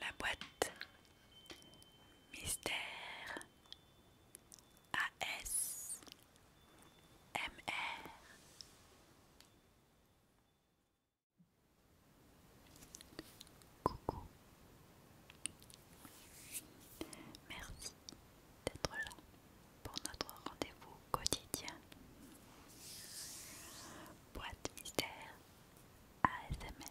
La boîte Mystère AS MR Coucou. Merci d'être là pour notre rendez-vous quotidien. Boîte mystère ASMR.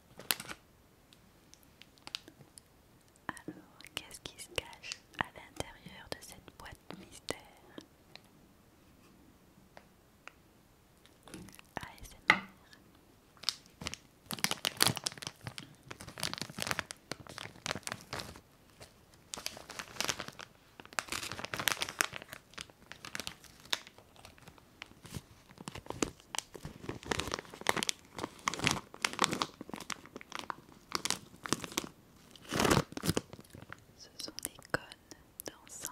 Alors, qu'est-ce qui se cache à l'intérieur de cette boîte mystère ce sont des cônes d'encens.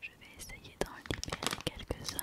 Je vais essayer d'en libérer quelques-uns.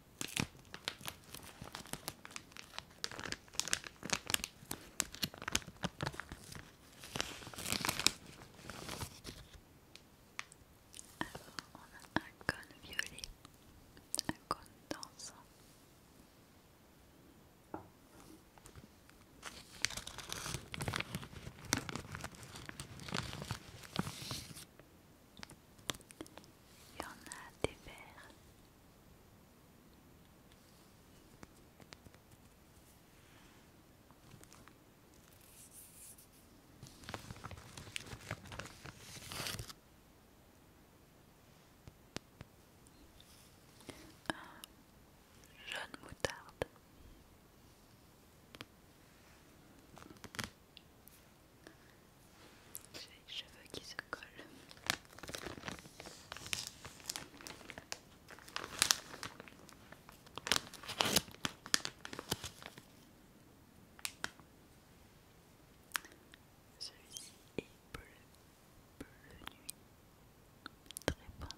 Alors, on a un cône violet, un cône dansant. Il y en a des verts. Un jaune moutarde. J'ai cheveux qui se collent. Celui-ci est bleu, bleu nuit, très pensé.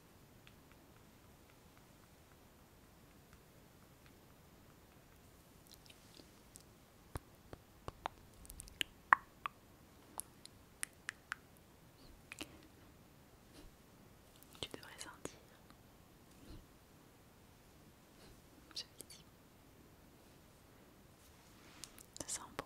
Tu devrais sentir. Je l'ai dit. Ça sent bon.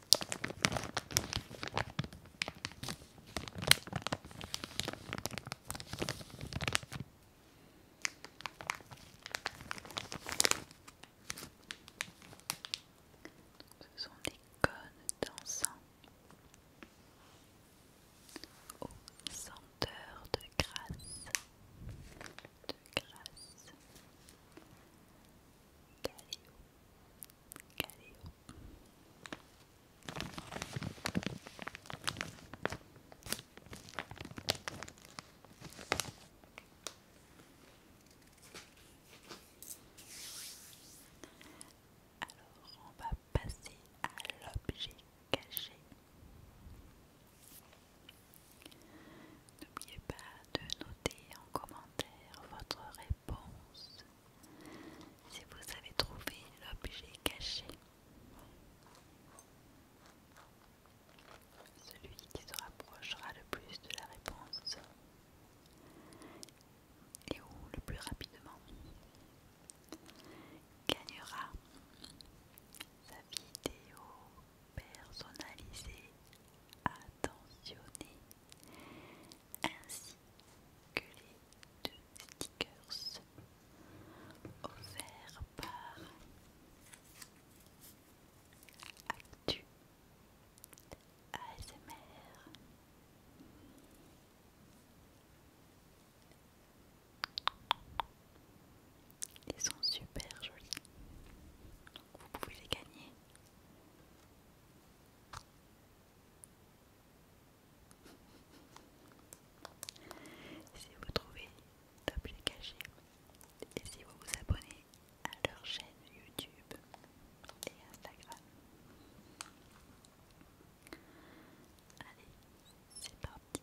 Ce sont des cônes d'encens aux senteurs de grâce, de grâce, alors, on va passer à l'objet caché. N'oubliez pas de noter en commentaire votre réponse si vous avez trouvé l'objet caché. Celui qui se rapprochera le plus de la réponse et où le plus rapidement gagnera sa vidéo personnalisé, attentionné, ainsi que les deux stickers offerts par Actu ASMR. Ils sont super jolis vous pouvez les gagner. si vous trouvez d'objets cachés et si vous vous abonnez à leur chaîne YouTube et Instagram. Allez, c'est parti.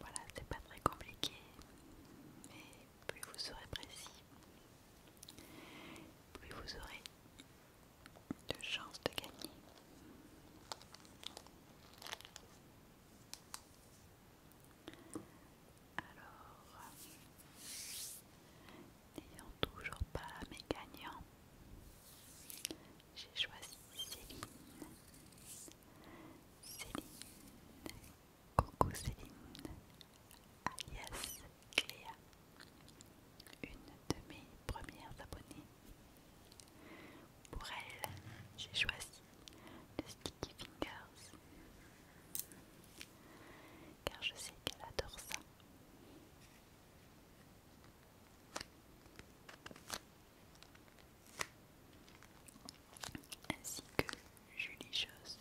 Voilà, c'est pas très compliqué, mais plus vous serez précis, plus vous aurez de chances de gagner. Alors, n'ayant toujours pas mes gagnants, j'ai choisi Céline. Céline Coucou Céline, alias Cléa, une de mes premières abonnées. Pour elle, j'ai choisi le Sticky Fingers, car je sais qu'elle adore ça. Ainsi que Julie Chose.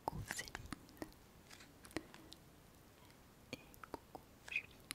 Coucou Céline et coucou Julie.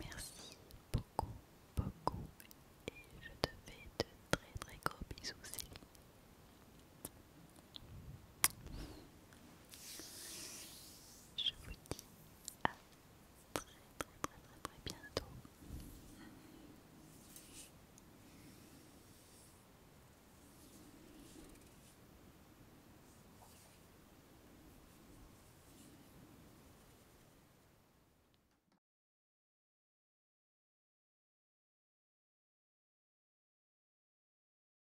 merci beaucoup, beaucoup, et je te fais de très très gros bisous, je vous dis à très très très très très bientôt.